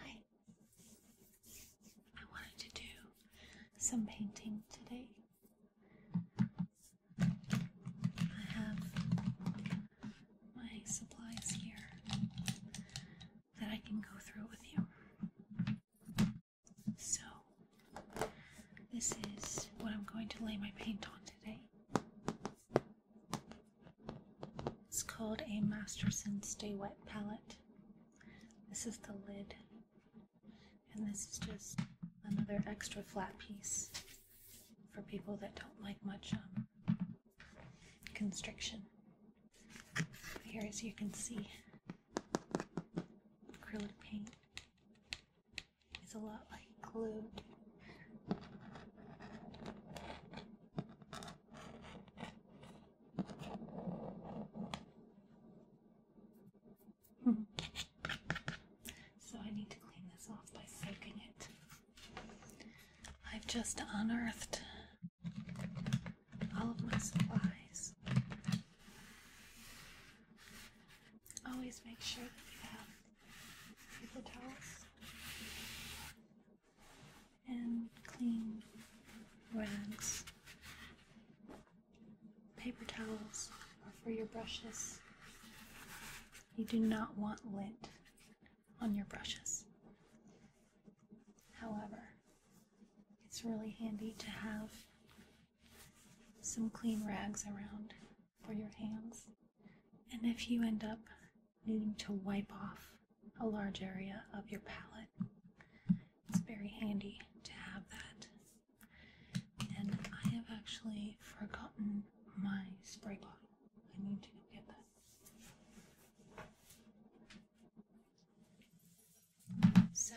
Hi. I wanted to do some painting today. I have my supplies here that I can go through with you. So, this is what I'm going to lay my paint on today. It's called a Masterson Stay Wet palette. This is the lid, and this is just another extra flat piece for people that don't like much um, constriction. Here, as you can see, acrylic paint it's a lot like glue. Hmm. so I need to clean this off by soaking it. I've just unearthed all of my supplies. Always make sure that you have the towels and clean rags. Paper towels are for your brushes. You do not want lint on your brushes. However, it's really handy to have some clean rags around for your hands. And if you end up needing to wipe off a large area of your palette, it's very handy to have that. And I have actually forgotten my spray bottle. I need to go get that. So,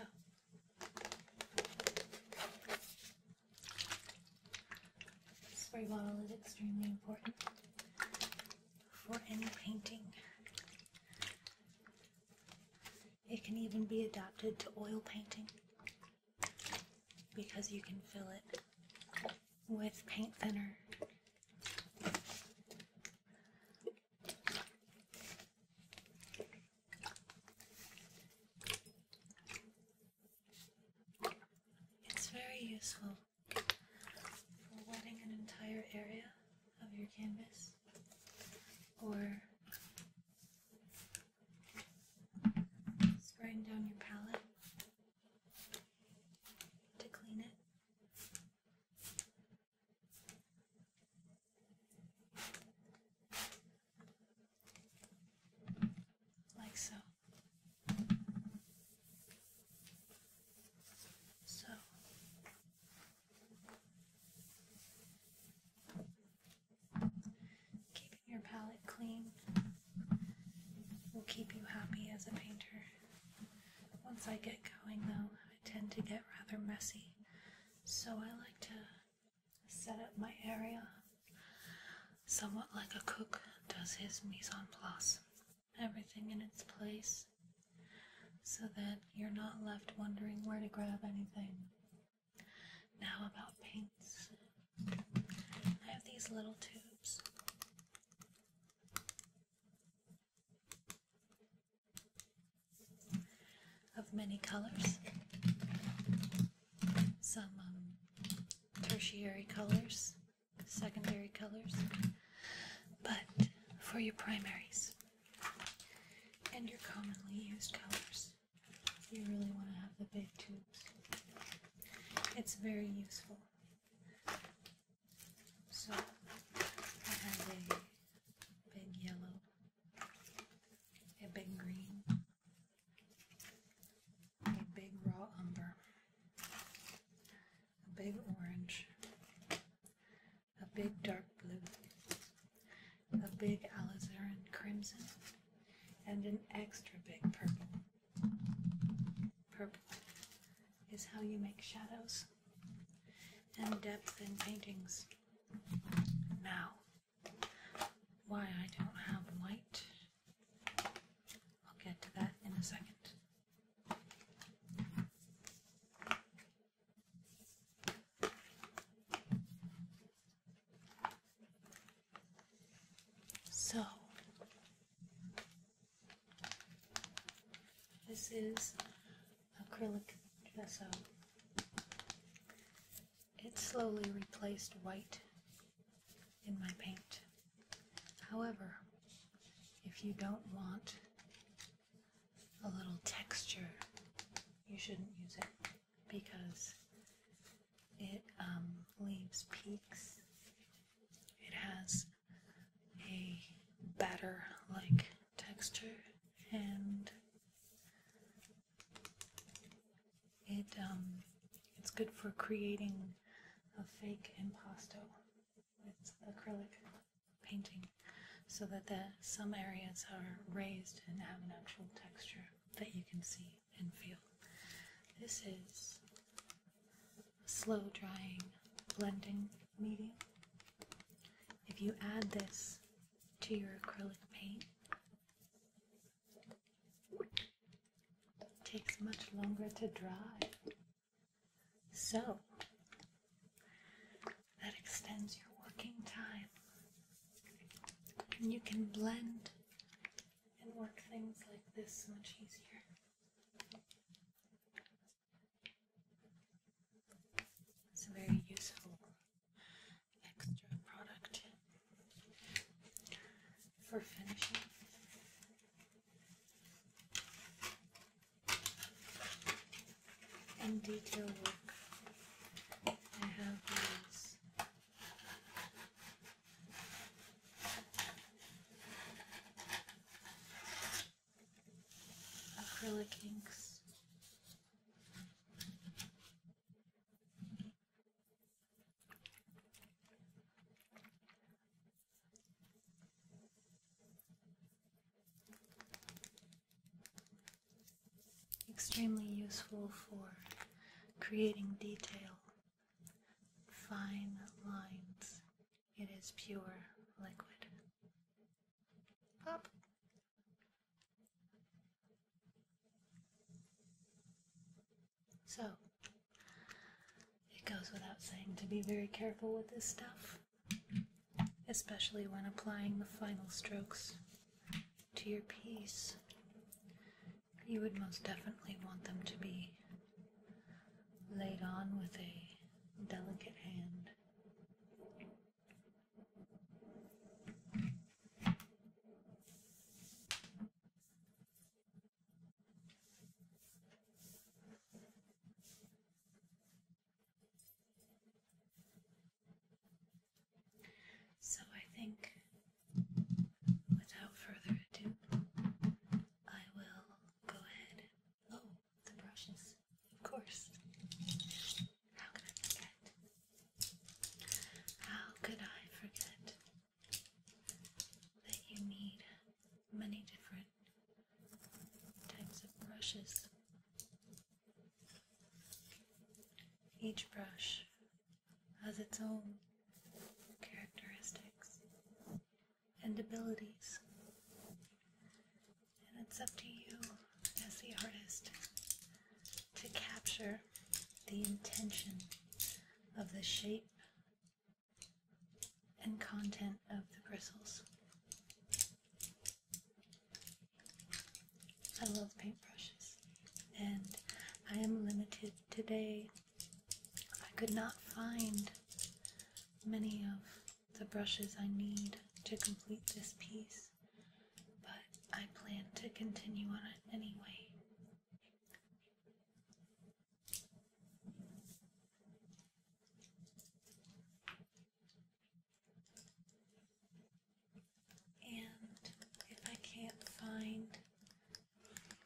spray bottle is extremely important for any painting. It can even be adapted to oil painting because you can fill it with paint thinner. It's very useful for wetting an entire area of your canvas or spraying down your palette to clean it like so. So keeping your palette clean will keep you happy as a painter. Once I get going, though, I tend to get rather messy, so I like to set up my area Somewhat like a cook does his mise en place, everything in its place, so that you're not left wondering where to grab anything. Now, about paints. I have these little tubes. Of many colors, some um, tertiary colors, secondary colors, but for your primaries and your commonly used colors, you really want to have the big tubes. It's very useful. So, I have a big yellow, a big green, a big raw umber, a big orange, a big dark blue, a big alizarin crimson, and an extra big purple. Purple is how you make shadows and depth in paintings. Now, why I don't have white I'll get to that in a second. So, this is acrylic gesso. It slowly replaced white in my paint. However, if you don't want a little texture, you shouldn't use it because it um, leaves peaks. It has a batter like texture and it um, it's good for creating a fake impasto with acrylic painting, so that the some areas are raised and have an actual texture that you can see and feel. This is a slow drying blending medium. If you add this to your acrylic paint, it takes much longer to dry. So that extends your working time. And you can blend and work things like this much easier. It's a very useful extra product for finishing. In detail work, I have these acrylic inks. Extremely useful for creating detail, fine lines. It is pure liquid. Pop! So, it goes without saying to be very careful with this stuff, especially when applying the final strokes to your piece. You would most definitely want them to be laid on with a delicate hand. So I think without further ado, I will go ahead. Oh, the brushes, of course. How could I forget? How could I forget? that you need many different types of brushes. Each brush has its own characteristics and abilities, and it's up to you as the artist to capture the intention of the shape and content of the bristles. I love paintbrushes and I am limited today. I could not find many of the brushes I need to complete this piece, but I plan to continue on it anyway. And if I can't find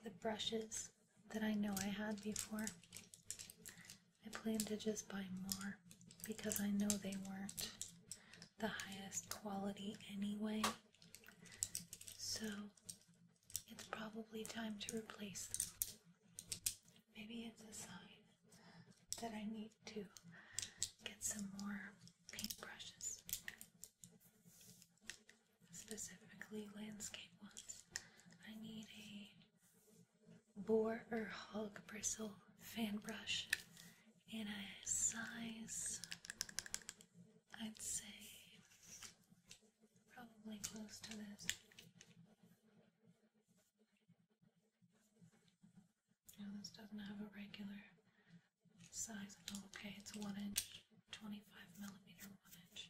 the brushes that I know I had before, I plan to just buy more because I know they weren't the highest quality anyway. So it's probably time to replace them. Maybe it's a sign that I need to get some more paintbrushes, specifically landscape ones. I need a boar or hog bristle fan brush in a size I'd say probably close to this. You this doesn't have a regular size at all. Okay, it's one inch, 25 millimeter, one inch.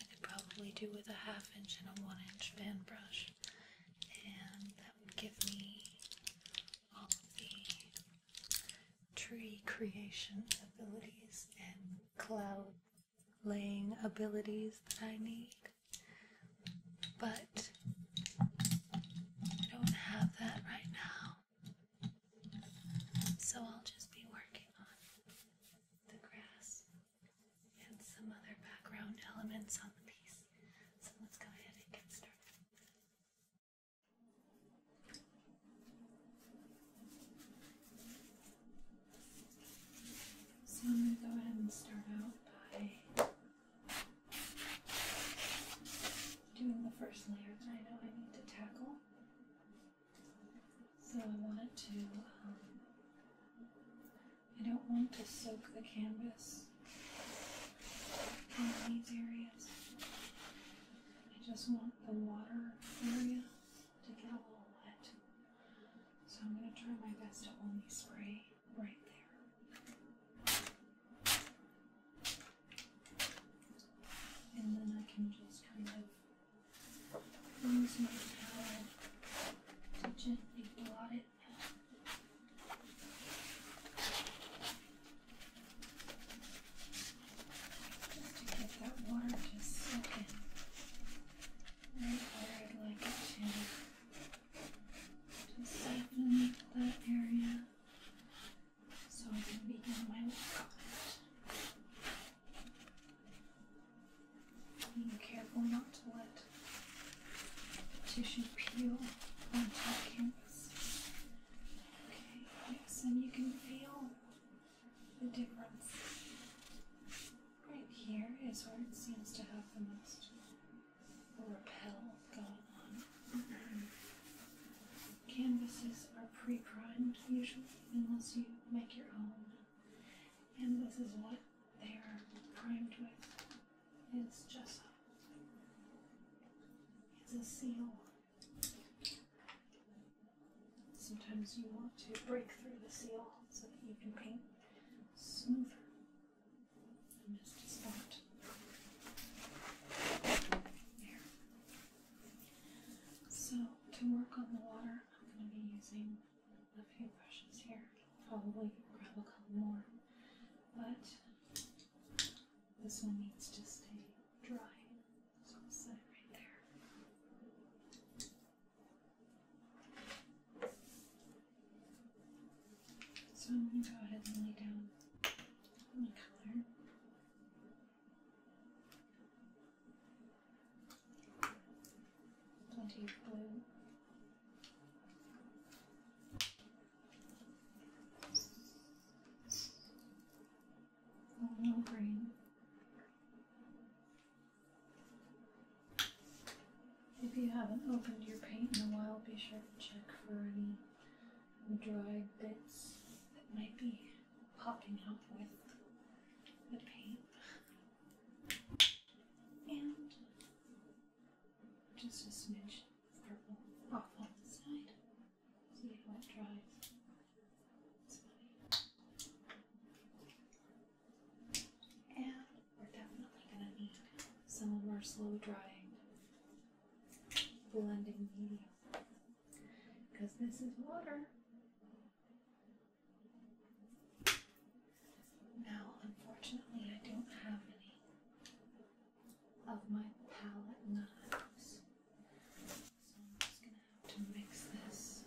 I could probably do with a half inch and a one inch fan brush, and that would give me all of the tree creation abilities and cloud laying abilities that I need. But I don't have that right now. So I'll just be working on the grass and some other background elements on the piece. So let's go ahead and get started. So I'm going to go ahead and start out by doing the first layer that I know I need to tackle. So I want to, um, I don't want to soak the canvas in these areas. I just want the water area to get a little wet. So I'm going to try my best to only spray right there. And then I can just kind of use my towel to gently blot it just to get that water to soak in right I'd like it to. Just siphon that area so I can begin my work Being careful not to let the tissue peel on the canvas. Okay, yes, and you can feel the difference. Right here is where it seems to have the most repel going on. Mm-hmm. Canvases are pre primed usually, unless you make your own. And this is what they are primed with. It's just it's a seal Sometimes you want to break through the seal so that you can paint smoother. And a spot. There. So to work on the water, I'm going to be using a few brushes here. probably grab a couple more, but this one needs to stay dry, so I'll set it right there. So I'm going to go ahead and lay down my color. Plenty of blue. If you haven't opened your paint in a while, be sure to check for any dried bits that might be popping up with the paint. And just a smidge of purple off on the side so that it will And we're definitely going to need some of our slow drying blending medium because this is water. Now, unfortunately, I don't have any of my palette knives. So I'm just going to have to mix this.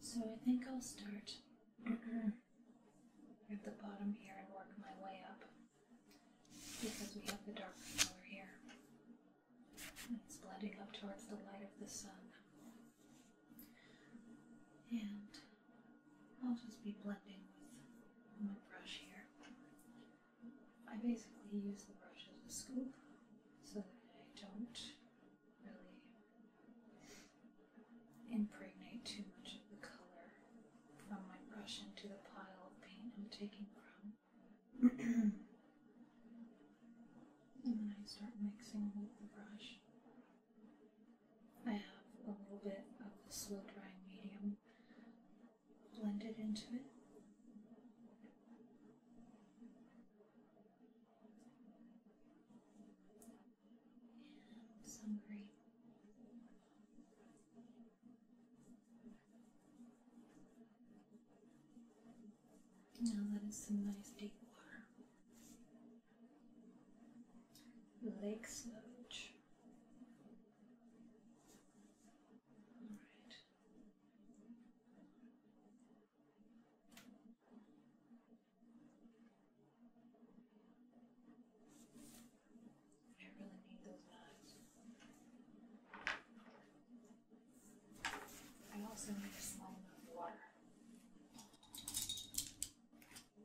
So I think I'll start at the bottom here and work my way up because we have the darker color here. It's blending up towards the light of the sun. And I'll just be blending with my brush here. I basically use the brush as a scoop so that I don't really impregnate too much of the color from my brush into the pile of paint I'm taking from. and then I start mixing with the brush. I have a little bit of the slow drying medium blended into it. And some green. Now that is some nice deep water. Lake Sludge. All right. I really need those knives. I also need a small amount of water.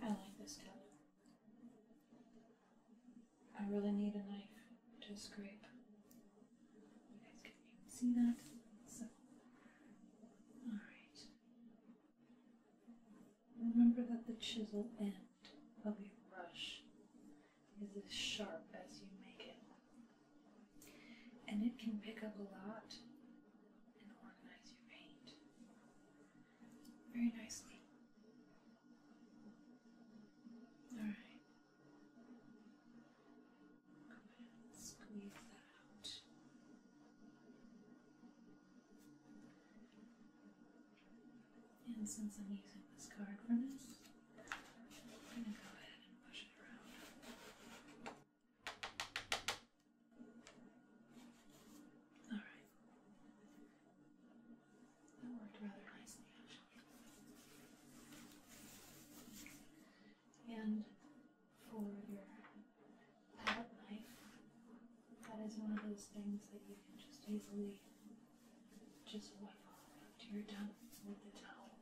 I like this color. I really need a knife to scrape. You guys can see that, so. Alright. Remember that the chisel end of your brush is as sharp as you make it. And it can pick up a lot and organize your paint very nicely. Alright. Squeeze that out. And since I'm using this card furnace, I'm going to go ahead and push it around. Alright. That worked rather nicely, actually. And for your palette knife, that is one of those things that you can just easily just wipe off after you're done with the towel.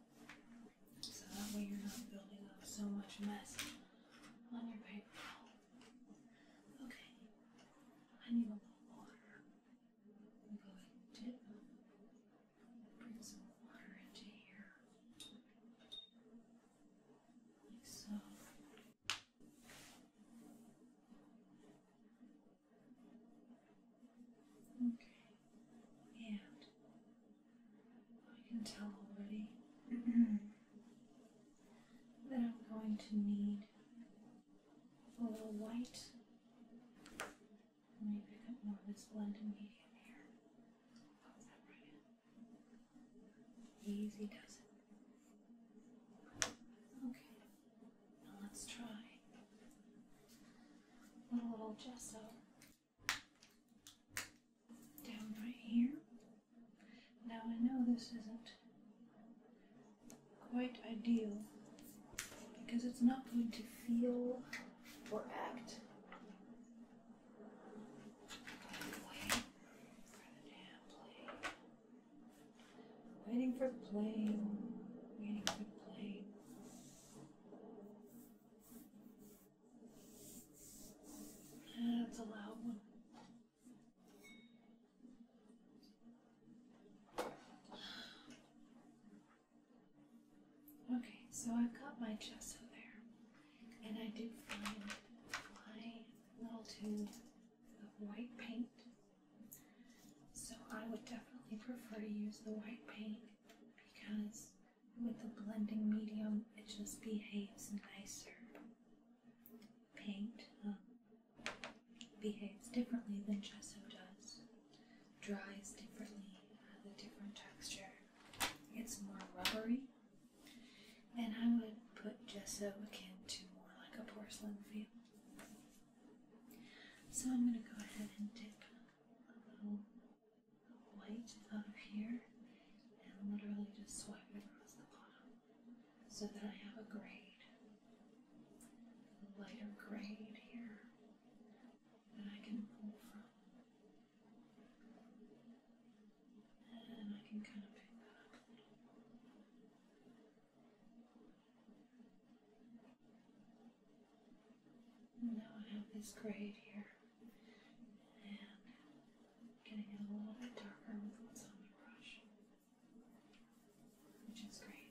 So that way you're not building up so much mess on your paper Okay, I need a little water. I'm going to bring some water into here, so. Okay, and um, I can tell already that I'm going to need a little white and then you pick of this medium here. Easy does it. Okay, now let's try a little gesso down right here. Now I know this isn't quite ideal because it's not going to feel or act waiting for the plane. Waiting for the plane. Waiting for the plane. Ah, that's a loud one. Okay, so I've got my gesso there, and I do find my little tube of white paint. So I would definitely prefer to use the white paint because with the blending medium, it just behaves nicer. Paint um, behaves differently than gesso does. Dries differently, has a different texture. It's more rubbery. And I would put gesso again to more like a porcelain feel. So I'm going to go ahead and dip a little white out of here and literally just swipe it across the bottom so that I have a grade lighter grade here that I can pull from. And I can kind of pick that up a little. And now I have this grade here. And getting a little bit darker with what's on the brush which is great.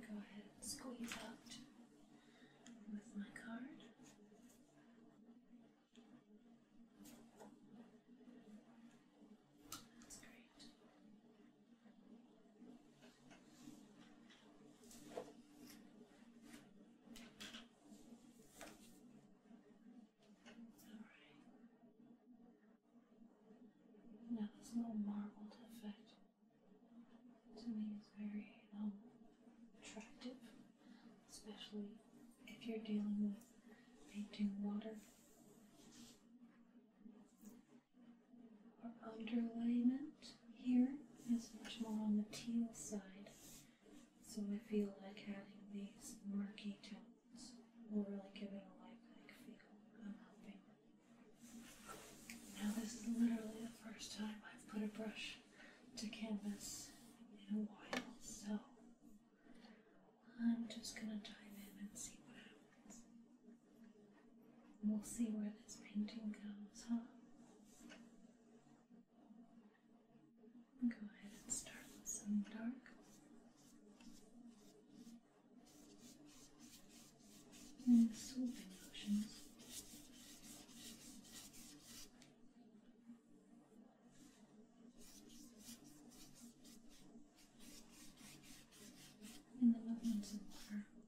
Go ahead and squeeze out with my card. That's great. All right. Now this little marbled effect to me is very um, attractive, especially if you're dealing with painting water. Our underlayment here is much more on the teal side. So I feel like adding these murky tones will really give it a life-like feel. I'm hoping. Now this is literally the first time I've put a brush to canvas in a while, so I'm just gonna dive in and see what happens and we'll see where this painting goes, huh? Go ahead and start with some dark. Mm, and sweeping motions. In the movements of water.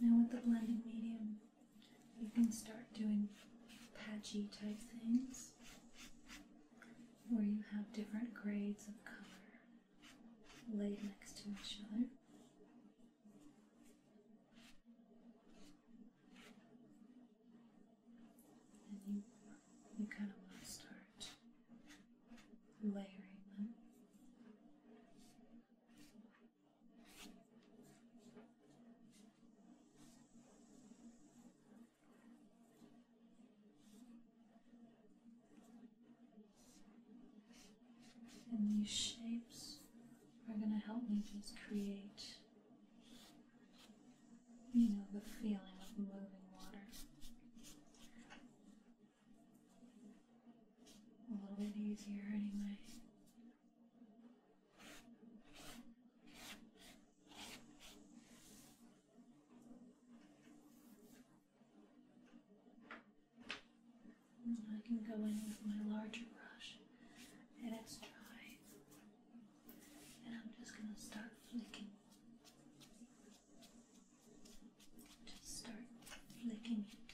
Now, with the blending medium, you can start doing patchy type things where you have different grades of color laid next to each other. And you, you kind of want to start layering them. And these shapes are going to help me just create, you know, the feeling of moving water a little bit easier anyway. I can go in with my larger brush, it's dry, and I'm just going to start flicking. Just start flicking it,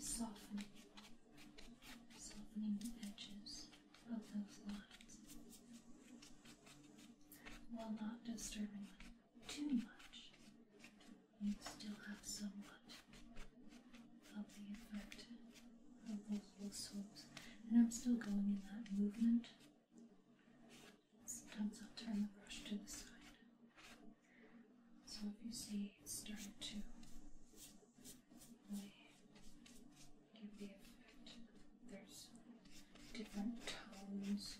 softening, softening the edges of those lines while not disturbing them too much. You still have somewhat of the effect of those little swoops, and I'm still going in that movement. Sometimes I'll turn the brush to the side. So if you see it's starting to give the effect, there's different tones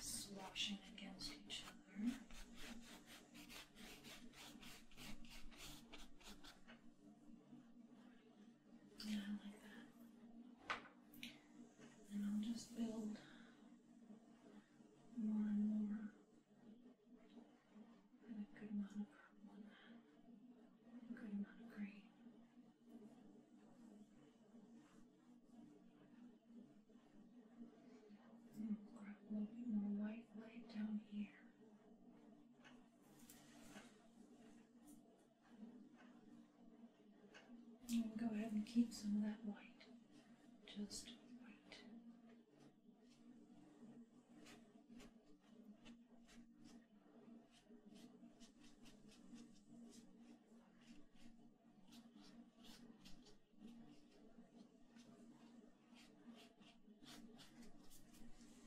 sloshing against each other. Yeah, like that. And I'll just build more and more. And a good amount of purple A good amount of green. And a little bit more white light down here. And we'll go ahead and keep some of that white, just white.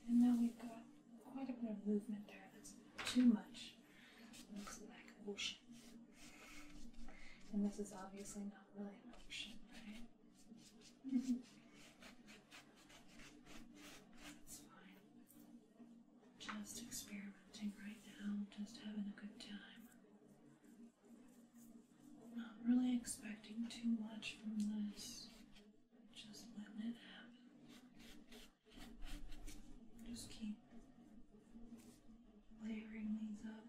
And now we've got quite a bit of movement there that's too much looks like ocean. And this is obviously not really an ocean, right? That's fine. Just experimenting right now, just having a good time. Not really expecting too much from this. Just letting it happen. Just keep layering these up.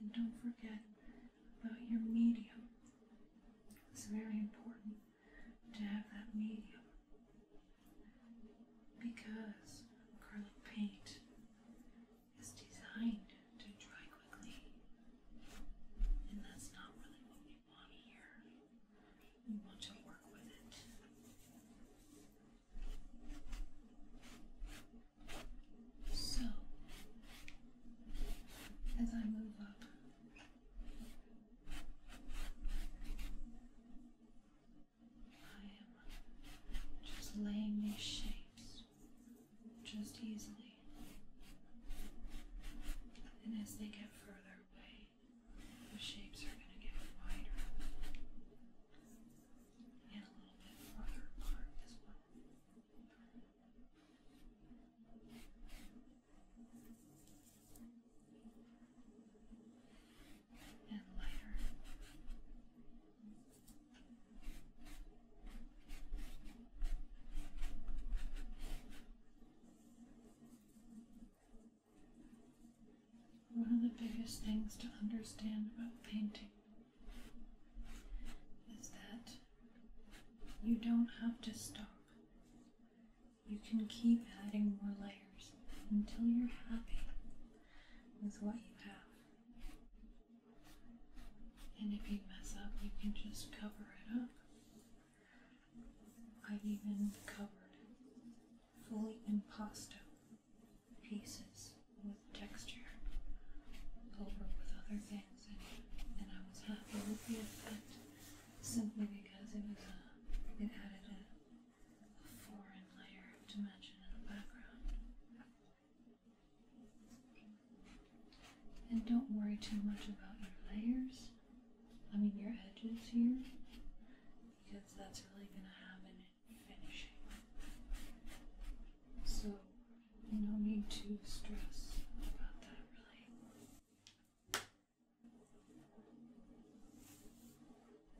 And don't forget about your medium. It's very important to have that medium because acrylic paint is designed to dry quickly, and that's not really what we want here. We want to work with it. So, as I move up, I am just laying these shapes just easily. And as they get further away, the shapes are going to get wider and a little bit further apart as well. And lighter. One of the biggest things to understand about painting is that you don't have to stop. You can keep adding more layers until you're happy with what you have. And if you mess up, you can just cover it up. I've even covered fully in pasta pieces with texture over with other things, and, I was happy with the effect simply because it was a, uh, it added a, foreign layer of dimension in the background. And don't worry too much about your layers. I mean your edges here, because that's really going to happen finishing. So, no need to stress about that really.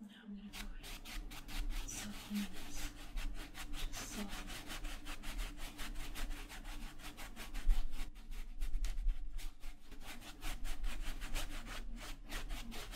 Now I'm going to go ahead and soften this. Just soften.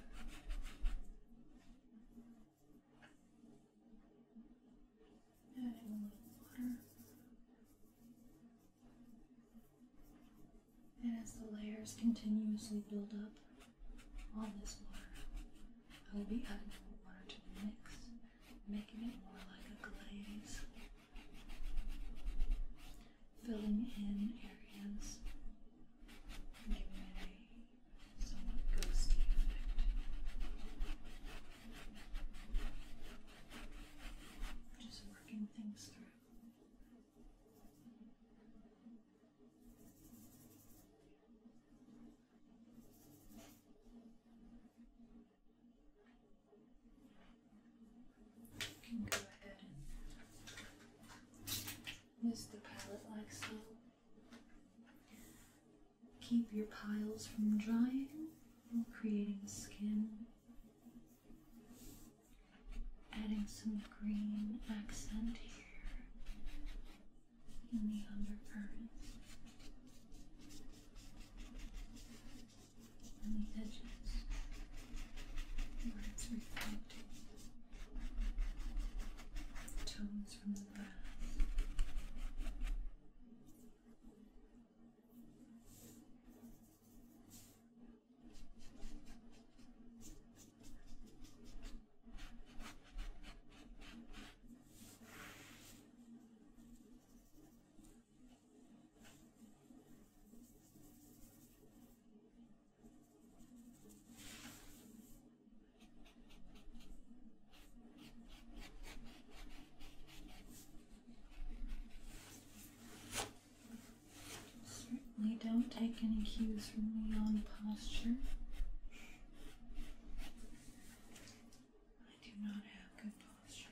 Add a water. And as the layers continuously build up, on this water, I will be adding more water to the mix, making it more like a glaze filling in areas giving it a somewhat ghosty effect. Just working things through use the palette like so. Keep your piles from drying while creating skin. Adding some green accent here in the undercurrent. And the edges where it's reflecting tones from the glass. Now Certainly don't take any cues from me on posture. I do not have good posture.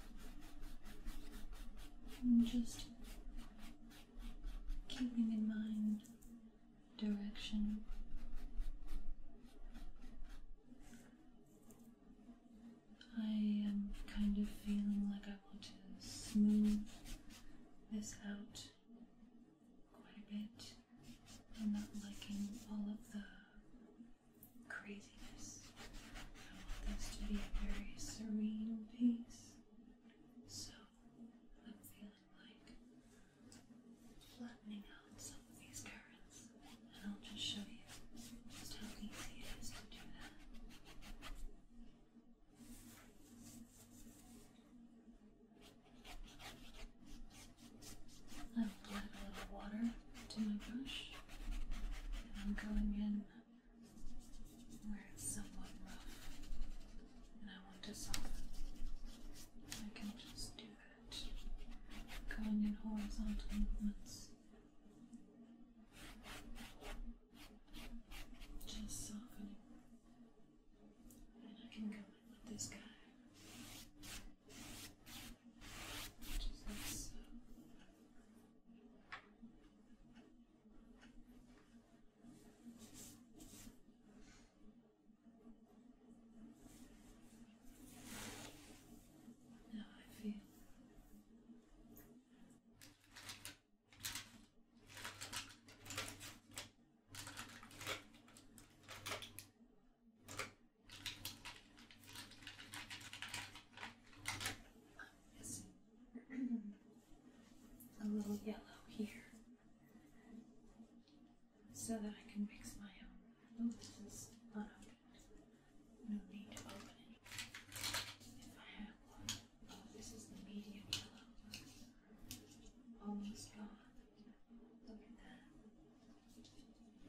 And just keeping in mind direction. I am kind of feeling like I want to smooth this out quite a bit. I'm not liking all of the craziness. I want this to be a very serene piece. So I'm feeling like flattening out some of these currents, and I'll just show you just how easy it is to do that. I'll add a little water to my brush, and I'm going in where it's somewhat rough, and I want to soften. I can just do that, going in horizontal movements. Just softening. And I can go in with this guy which is this. Now I feel a little yellow here so that I can mix my own. Oh, this is unopened. No need to open it if I have one. Oh, this is the medium yellow. Almost gone. Look at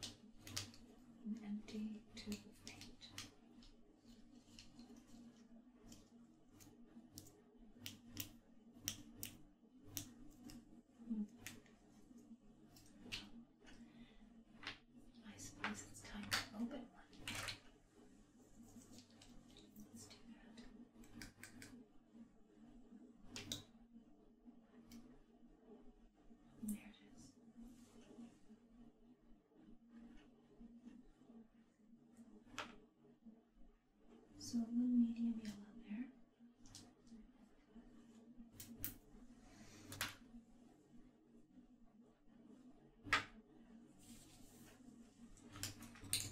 that. An empty tube of paint. I suppose it's time to open one. Let's do and there it is. So a little medium yellow there.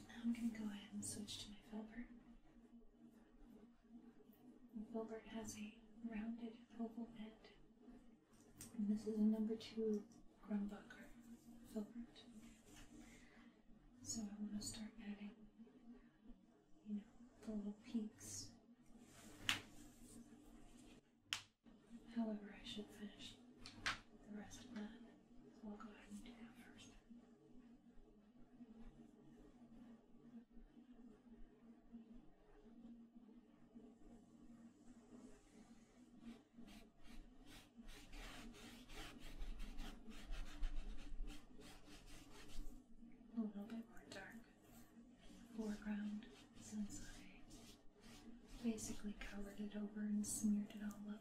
Now I'm going to go ahead and switch to my filbert. filbert has a rounded oval head. And this is a number two Grumbucker filbert. So I want to start adding, you know, the little peaks. However, I should finish the rest of that. So I'll go ahead and do that first a little bit more dark foreground since I basically covered it over and smeared it all up.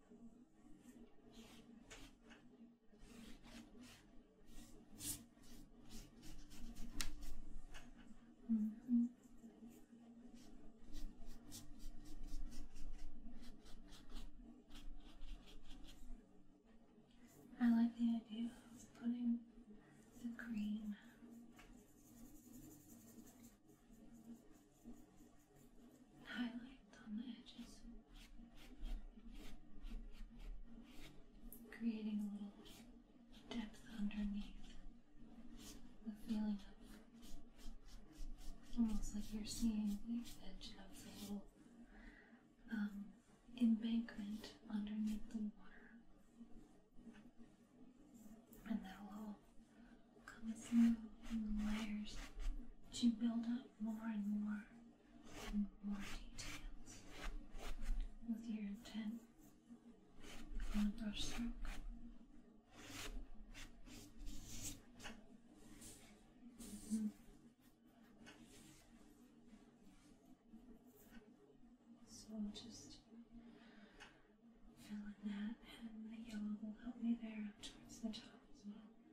-hmm. I like the idea of putting the cream highlight on the edges, creating a little depth underneath the feeling of almost like you're seeing the edge of the little um, embankment underneath the water. And that'll comes through in layers to build up more and more and more details with your intent on a brush stroke. Mm -hmm. just fill in that, and the yellow will help me there up towards the top as well.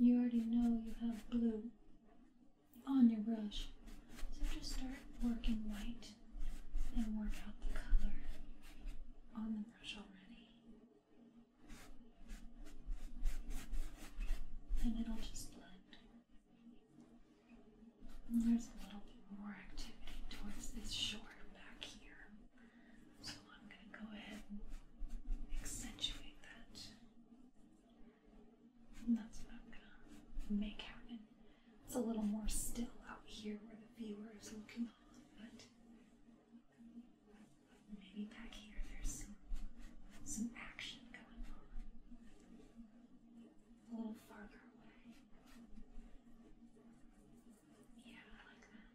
You already know you have blue on your brush, so just start working white and work out the color on the brush already. And it'll just blend. And there's a little bit more activity towards this shore back here. So I'm going to go ahead and accentuate that. And that's what I'm going to make happen. It's a little more still out here where the viewer is looking on, but Maybe back here there's some, action going on. A little farther away. Yeah, I like that.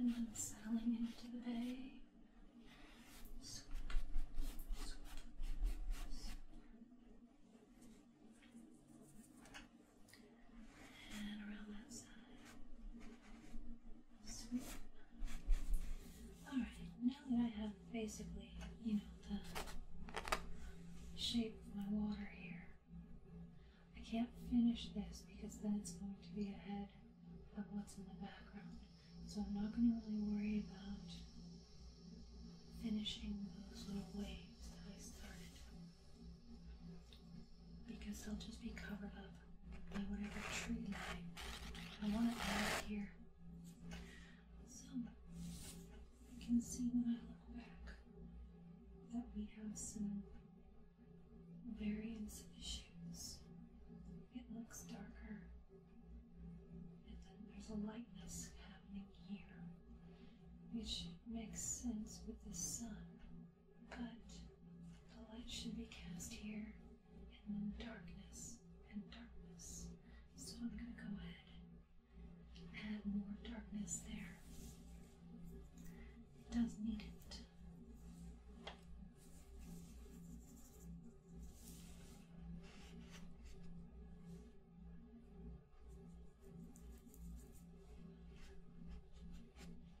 And then settling into the bay. And around that side. Alright, now that I have basically, you know, the shape of my water here, I can't finish this because then it's going to be ahead of what's in the background. So I'm not going to really worry about finishing those little waves that I started because they'll just be covered up by whatever tree line I want to add here. So I can see when I look back that we have some variance issues. It looks darker, and then there's a lightness happening here, which makes sense with the sun but the light should be cast here in darkness and darkness. So I'm going to go ahead and add more darkness there. It does need it.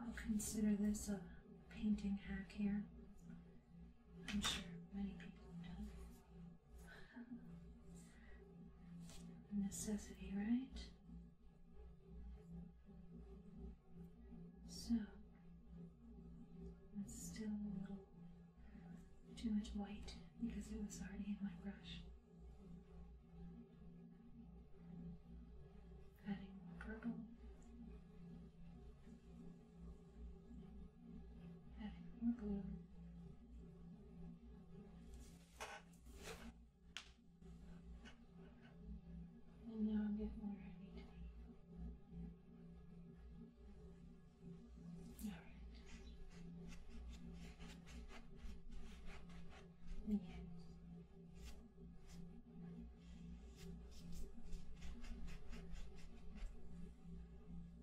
I'll consider this a painting hack here. I'm sure many people have done it necessity, right? So, that's still a little too much white because it was already in my brush. Adding more purple. And now I'm getting where I need to be. Alright. Yes.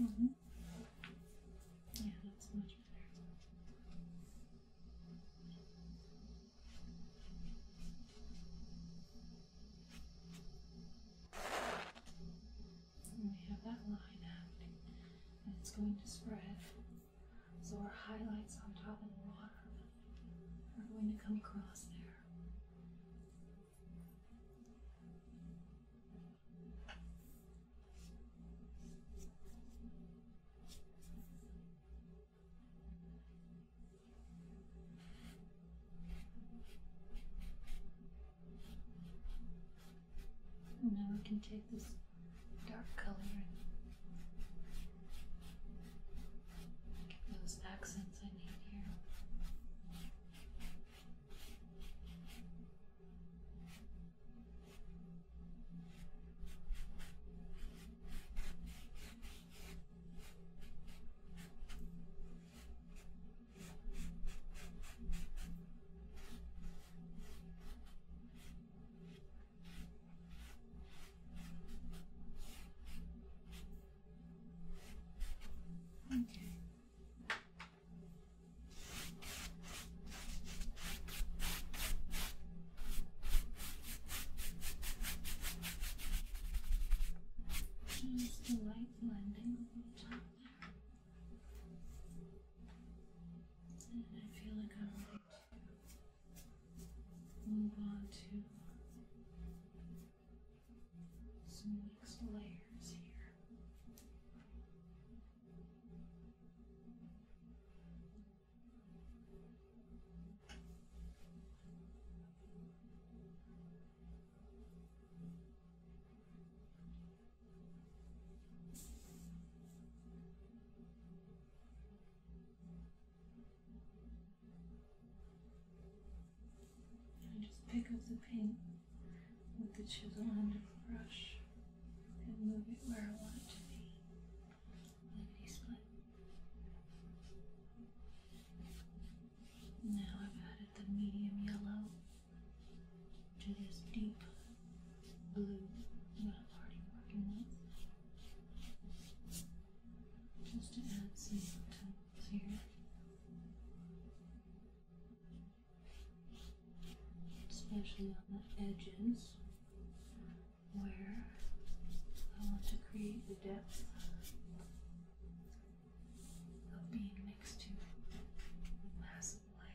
Mm -hmm. Yeah, that's much better. And we have that line happening, and it's going to spread. So our highlights on top of the water are going to come across there. And now we can take this dark color and get those accents I need here. Okay. Just a light blending over the top there. I feel like I'm ready to move on to some next layers here. And just pick up the paint with the chisel and the brush and move it where I want it to be. Lickety split. Now I've added the medium yellow to this deep blue that I'm already working with. Just to add some tones here. Especially on the edges where I want to create the depth of being next to the massive light.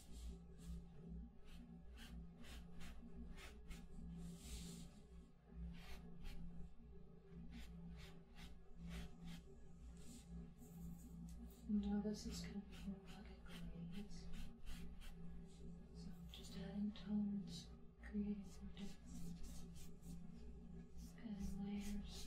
Now this is going to be more like a glaze. So just adding tones, creating more different kind of layers.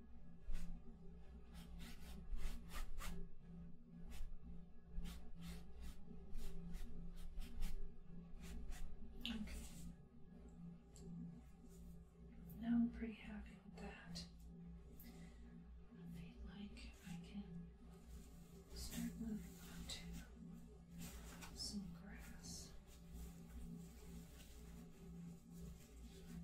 Okay. Now I'm pretty happy with that. I feel like I can start moving on to some grass.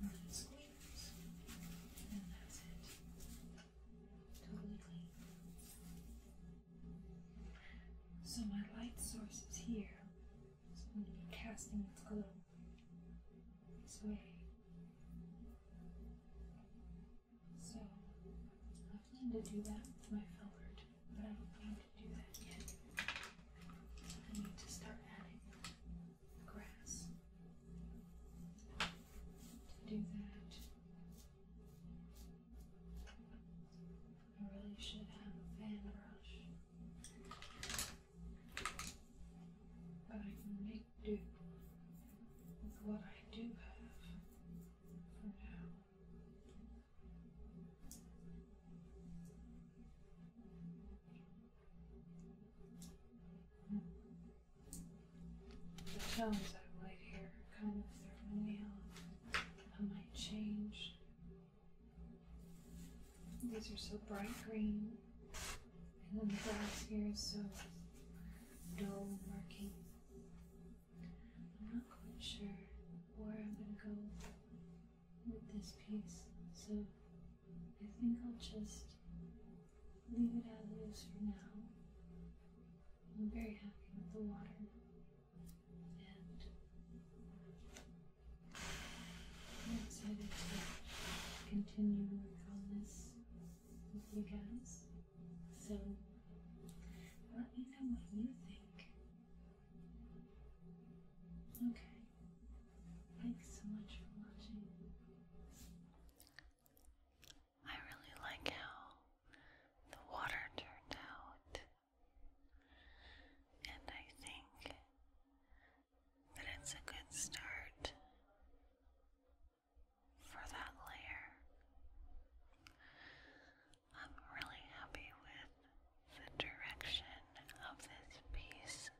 Nothing squeaks. And that's it. Totally clean. So my light source is here so be casting its glow this way. So, I plan to do that with my forward, but I don't plan to do that yet. I need to start adding grass. To do that, I really should have a fan brush. But I can make do with what I do have for now. The tones I write here kind of throw me off. I might change these are so bright green, and then the grass here is so dull and murky. I'm not quite sure where I'm going to go with this piece, so I think I'll just leave it as it is for now. I'm very happy with the water, and I'm excited to continue working on this with you guys. So let me know what you think. Okay. Thanks so much for watching. I really like how the water turned out. And I think that it's a good start for that layer. I'm really happy with the direction of this piece,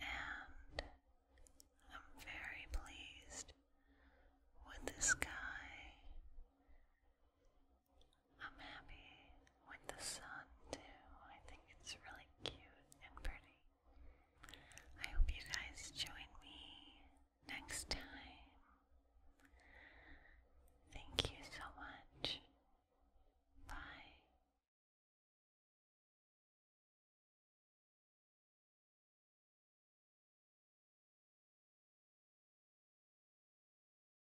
and I'm very pleased with the sky I'm happy with the sun too. I think it's really cute and pretty. I hope you guys join me next time. Thank you so much. Bye.